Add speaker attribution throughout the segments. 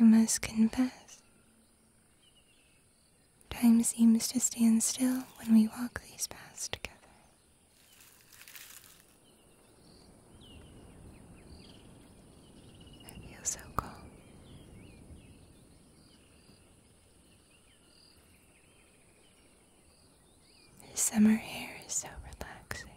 Speaker 1: I must confess, time seems to stand still when we walk these paths together. I feel so calm. The summer air is so relaxing.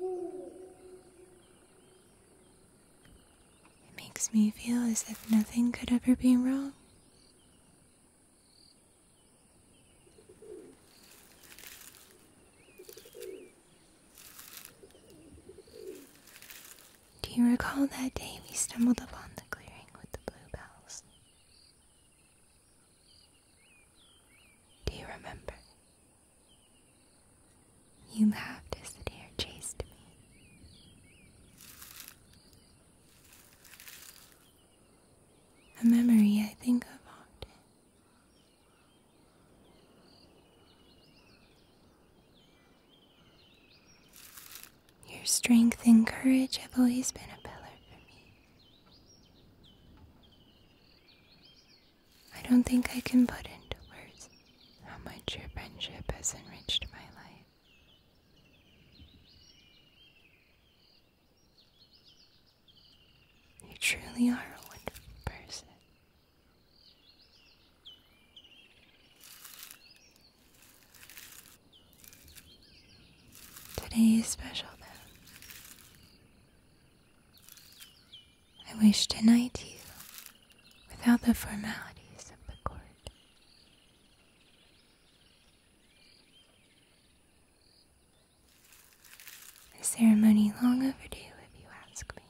Speaker 1: It makes me feel as if nothing could ever be wrong. Do you recall that day we stumbled upon the clearing with the bluebells? Do you remember? You laughed as the deer chased me. A memory I think of often. Your strength and courage have always been a pillar for me. I don't think I can put into words how much your friendship has enriched my life. You truly are a wonderful person. Today is special though. I wish tonight, you without the formalities of the court. A ceremony long overdue if you ask me.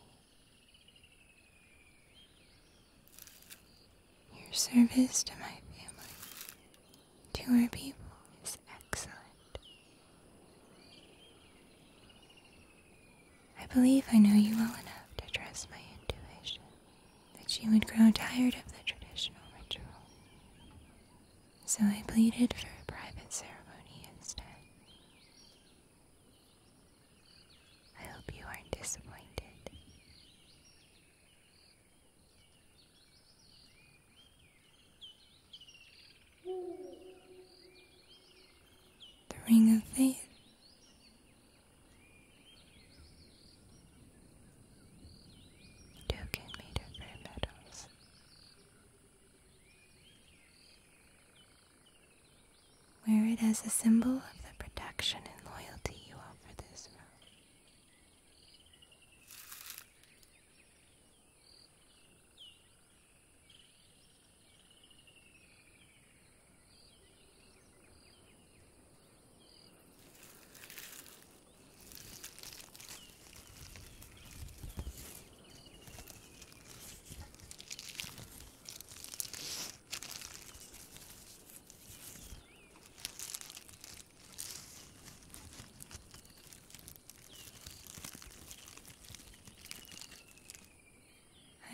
Speaker 1: Your service to my family, to our people, is excellent. I believe I know you well enough to trust my intuition that you would grow tired of the traditional ritual. So I pleaded for a private ceremony instead. I hope you aren't disappointed. The Ring of Faith. Token made of rare metals. Wear it as a symbol of the protection and loyalty you offer this world.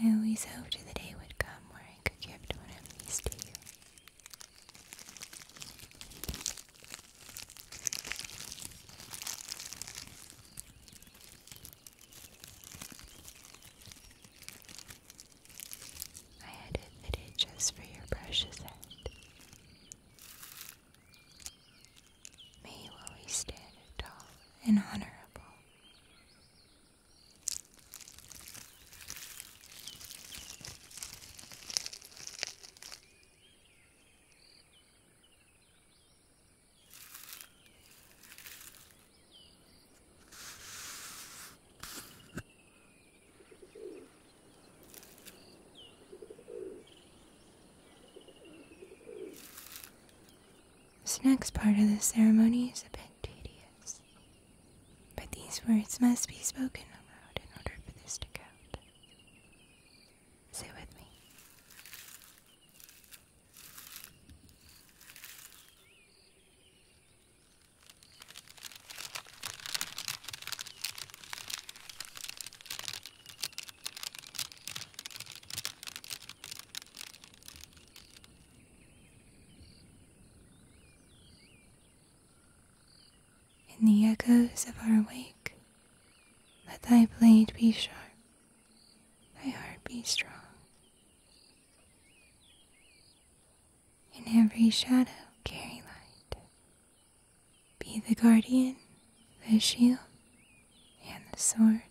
Speaker 1: I always hoped the day would come where I could give one of these to you. I had it fitted just for your precious head. May you always stand tall and honorable. This next part of the ceremony is a bit tedious, but these words must be spoken aloud in order for this to count. Say with me. In the echoes of our wake, let thy blade be sharp my heart be strong. In every shadow carry light. Be the guardian, the shield, and the sword.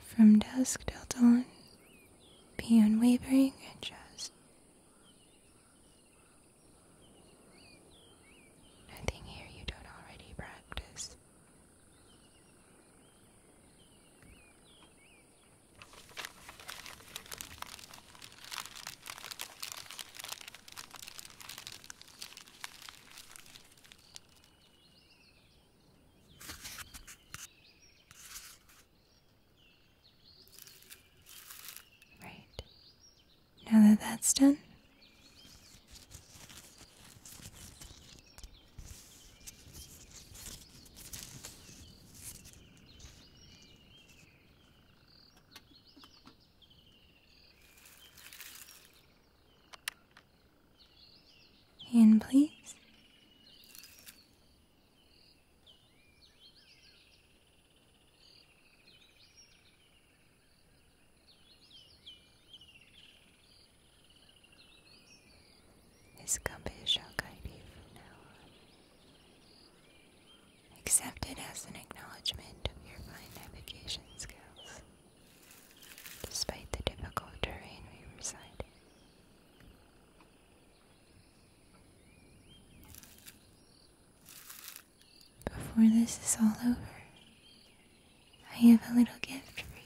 Speaker 1: From dusk till dawn, be unwavering and just. Nothing here you don't already practice. Right. Now that that's done, in, please. It's gonna be a guide you for now on. Accept it as an acknowledgement of your fine navigation skills. Despite the difficult terrain we reside in. Before this is all over, I have a little gift for you.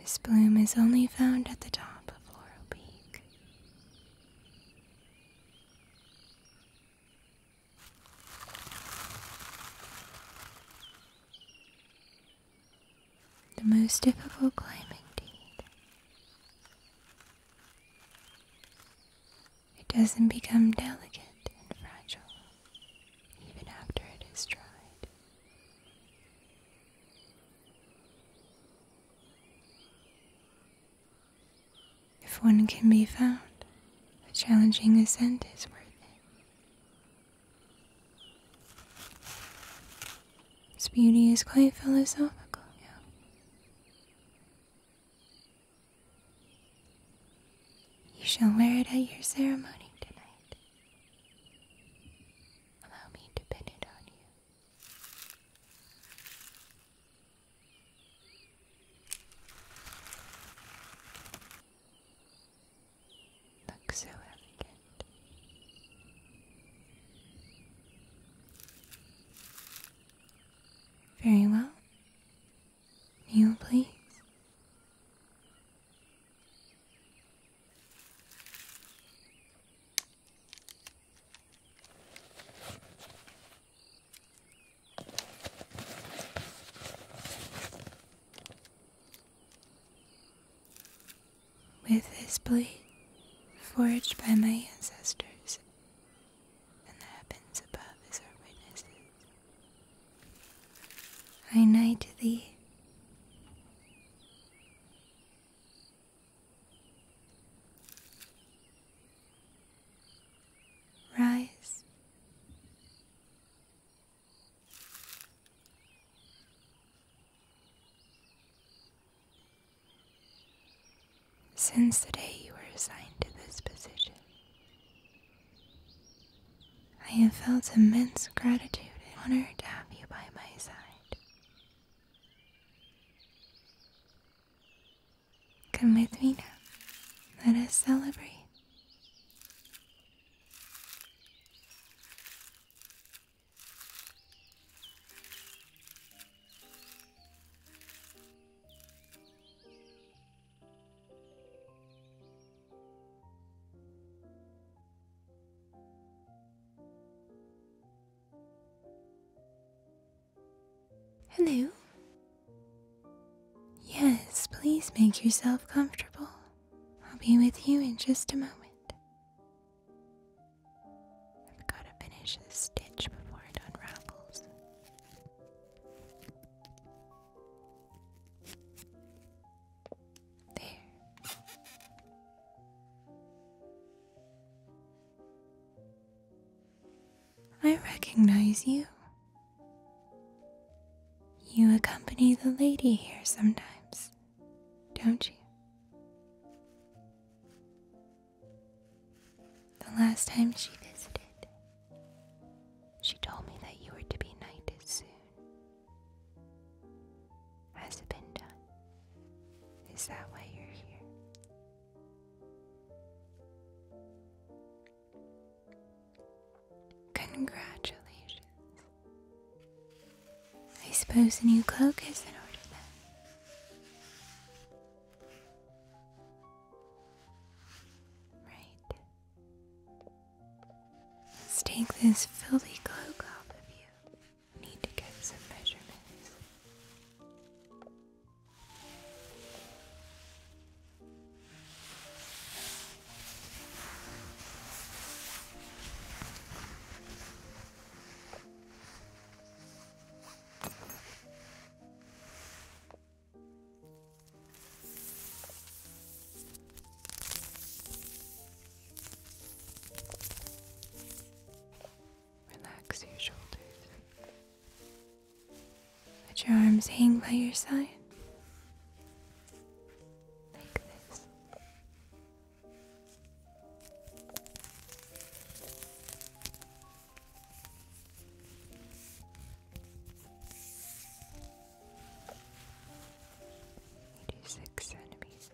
Speaker 1: This bloom is only found at the top of Laurel Peak. The most difficult climbing deed. It doesn't become delicate and fragile even after it is tried. If one can be found, a challenging ascent is worth it. Its beauty is quite philosophical, You shall wear it at your ceremony tonight. Allow me to pin it on you. Look so elegant. Very well. Kneel, please. With this blade, forged by my ancestors, and the heavens above as our witnesses, I knight thee. Rise, since the day you were assigned to this position, I have felt immense gratitude and honor to have you by my side. Come with me now. Let us celebrate. Hello. Yes, please make yourself comfortable. I'll be with you in just a moment. I've got to finish this stitch before it unravels. There. I recognize you. You accompany the lady here sometimes, don't you? The last time she visited, she told me that you were to be knighted soon. Has it been done? Is that why you're here? Congratulations. I suppose a new cloak is in order then. Right. Let's take this filthy cloak off of you. need to get some measurements. Relax your shoulders. Let your arms hang by your side. Eighty six centimeters.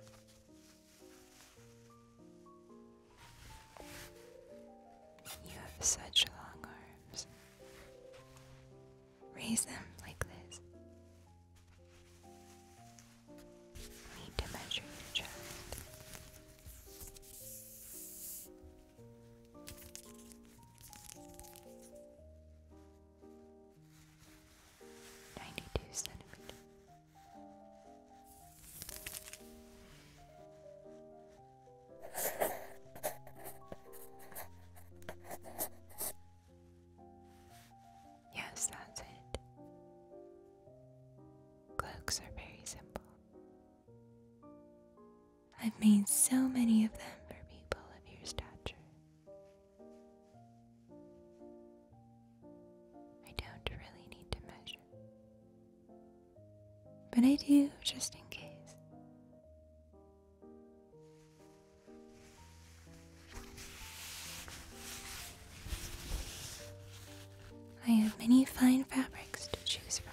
Speaker 1: You have such long arms raise them like this. need to measure your chest. Ninety-two centimeters. Yes, that's it. Cloaks are very simple. I've made so many of them for people of your stature. I don't really need to measure, but I do just in case. I have many fine fabrics to choose from.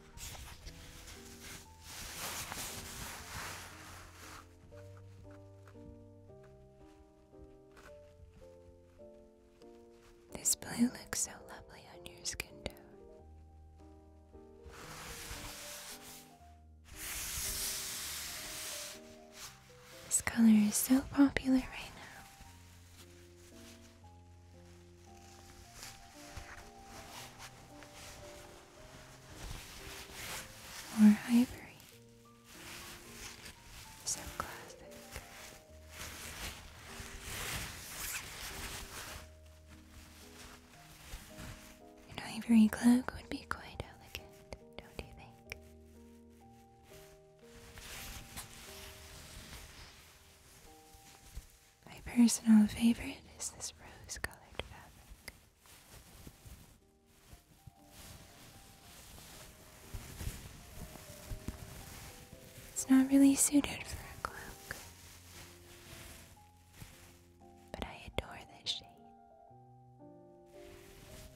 Speaker 1: This blue looks so lovely on your skin tone. This color is so popular right now or ivory so classic an ivory cloak would be quite elegant, don't you think? My personal favorite is this rose colored fabric. It's not really suited for a cloak, but I adore this shade.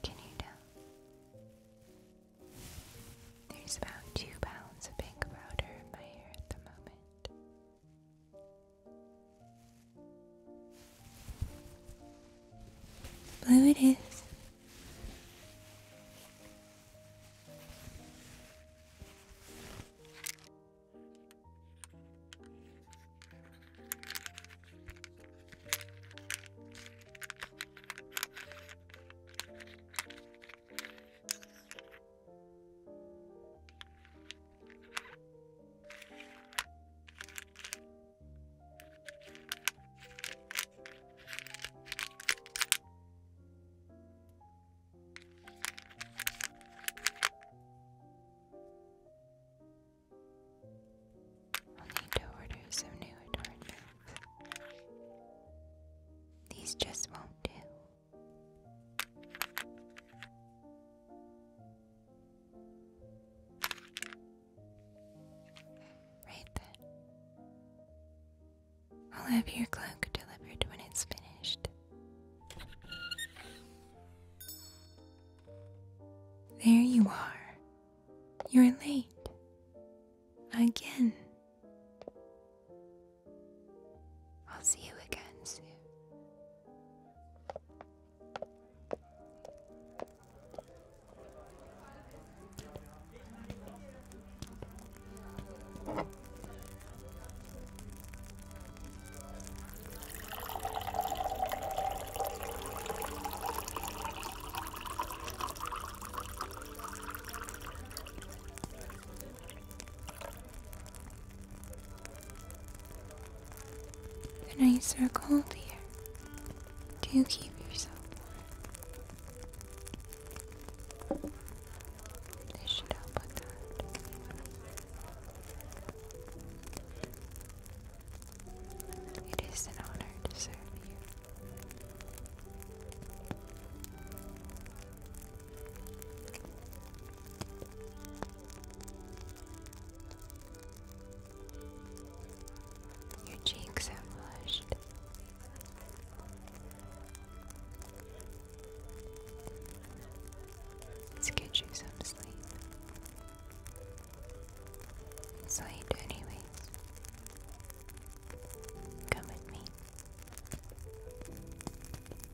Speaker 1: Can you tell? There's about two pounds of pink powder in my hair at the moment. Blue it is. We'll need to order some new adornments. These just won't do. Right then. I'll have your cloak delivered when it's finished. There you are. You're late. Again. I'll see you again soon. The nights are cold here. Do keep yourself warm. This should help with that. It is an honor to serve you. Your cheeks are flushed. Let's you some sleep. It's anyways. Come with me.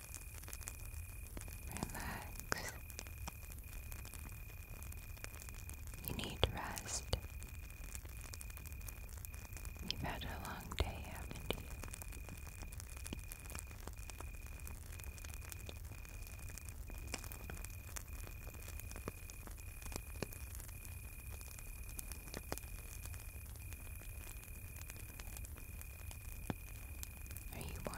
Speaker 1: Relax. You need rest. You've had a long day, haven't you? Are you warm?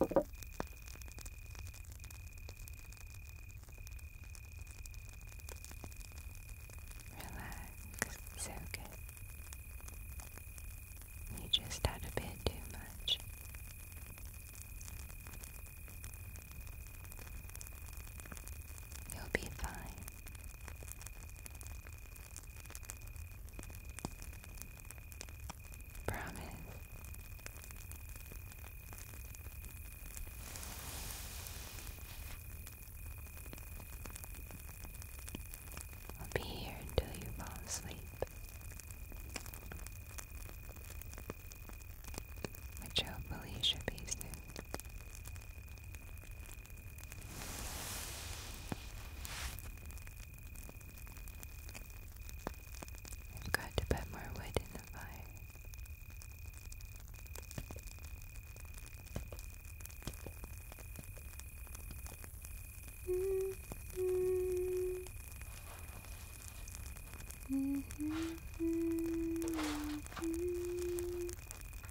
Speaker 1: Relax, so good. You just had a bit too much. You'll be fine. Promise. I'll be here until you fall asleep. Which hopefully should be soon we have got to put more wood in the fire. Mm-hmm. Mm-hmm. Mm-hmm.